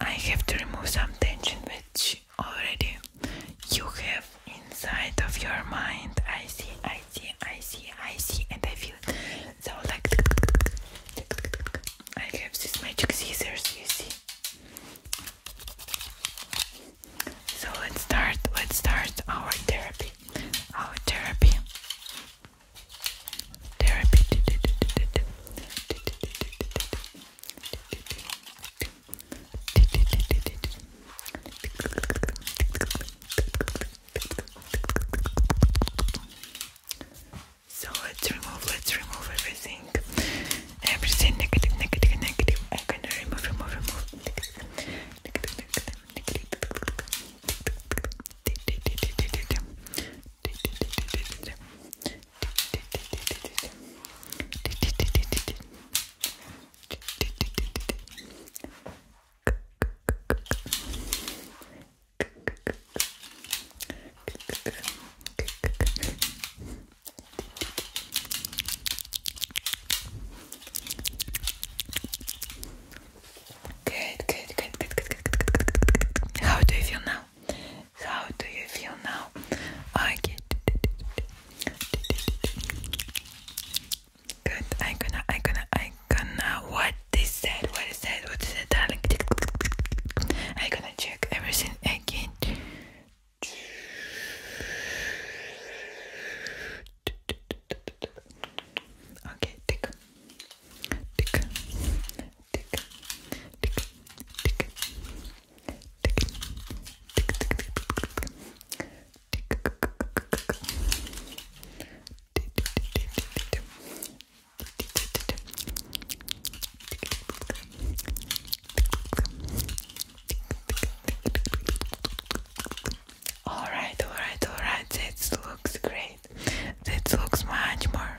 I have to remove some tension which already you have inside of your mind. I see, I see, I see, I see, and I feel So, like, I have these magic scissors, you see. So, let's start, let's start our therapy. Our therapy so let's remove, let's remove everything. Everything Negative, negative, negative. Good, good, good, good, good, good, good, good. How do you feel now? How do you feel now? I okay. Good. I gonna, I gonna, I gonna. What is that? What is that? What is that, I gonna check everything again. Okay, tick, tick, tick, all right, all right, all right. That looks great. That looks much more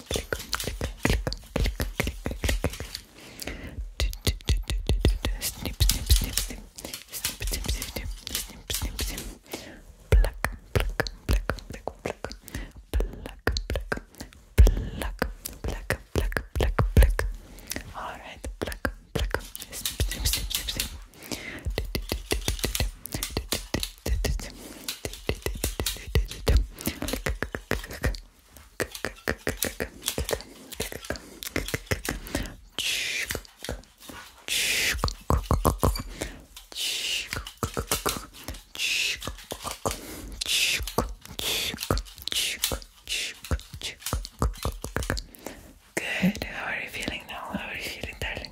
click, click, click, click, click. Snip, snip, snip, snip. Snip, snip, snip, snip, snip, snip. Pluck, pluck, pluck, pluck, pluck. Pluck, pluck, pluck, pluck, pluck, pluck, pluck. All right, pluck, pluck. Snip, snip, snip, snip, snip. Good. How are you feeling now? How are you feeling, darling?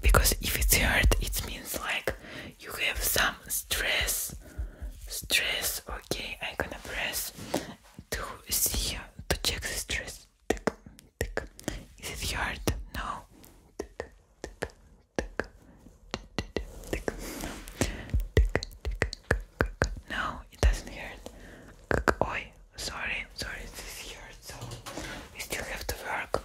because if it's hurt it means like you have some stress stress okay I'm gonna press to see to check the stress tick, tick. is it hurt no tick, tick, tick. Tick, Tick, tick, no, it doesn't hurt. Oi, sorry, sorry, It's hurts. So we still have to work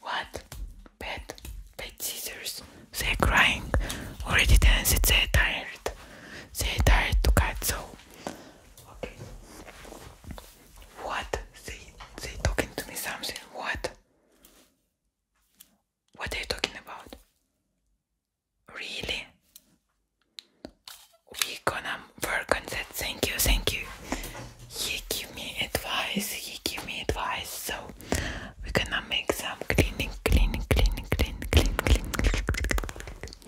What? Bed? Bed scissors? They're crying. Already danced, they're tired. They're tired to cut, so. Okay. What? They, they talking to me something. What? What are you talking about? Really? We gonna work on that. Thank you, thank you. He give me advice. He give me advice. So we're gonna make some cleaning, cleaning, cleaning, cleaning, cleaning,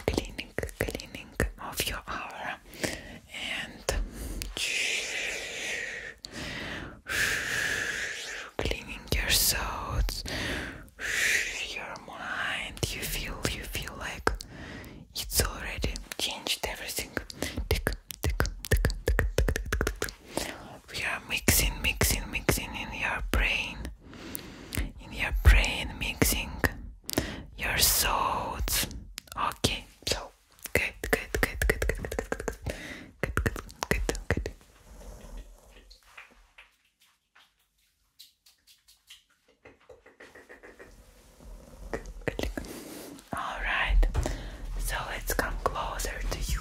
cleaning, cleaning of your aura and cleaning your thoughts, your mind. You feel, you feel like it's already changed everything. Tick, we are mixing, mixing, mixing in your brain, in your brain, mixing your thoughts. Okay, so good, good, good, good, good, good, good, good, good, good, good, good. All right. So let's come closer to you.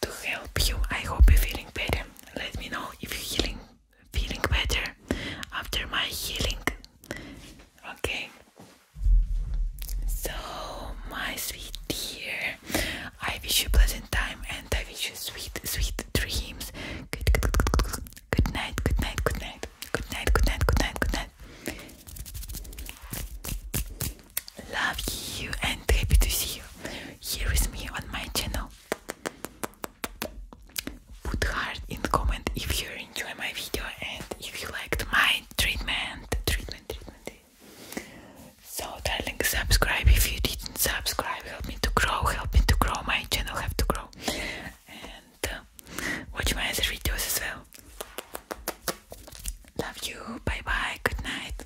to help you. I hope you're feeling better. Let me know if you're healing, feeling better after my healing. Okay. So, my sweet dear, I wish you a pleasant time and I wish you sweet, sweet dreams. good, good, good, good. good night, good night, good night, good night, good night, good night, good night. Love you and happy to see you here with me on my channel. Put heart in comment if you enjoy my video and if you liked my treatment, treatment, treatment. So darling, subscribe if you didn't subscribe. Help me to grow, help me to grow. My channel have to grow. And uh, watch my other videos as well. Love you. Bye bye. Good night.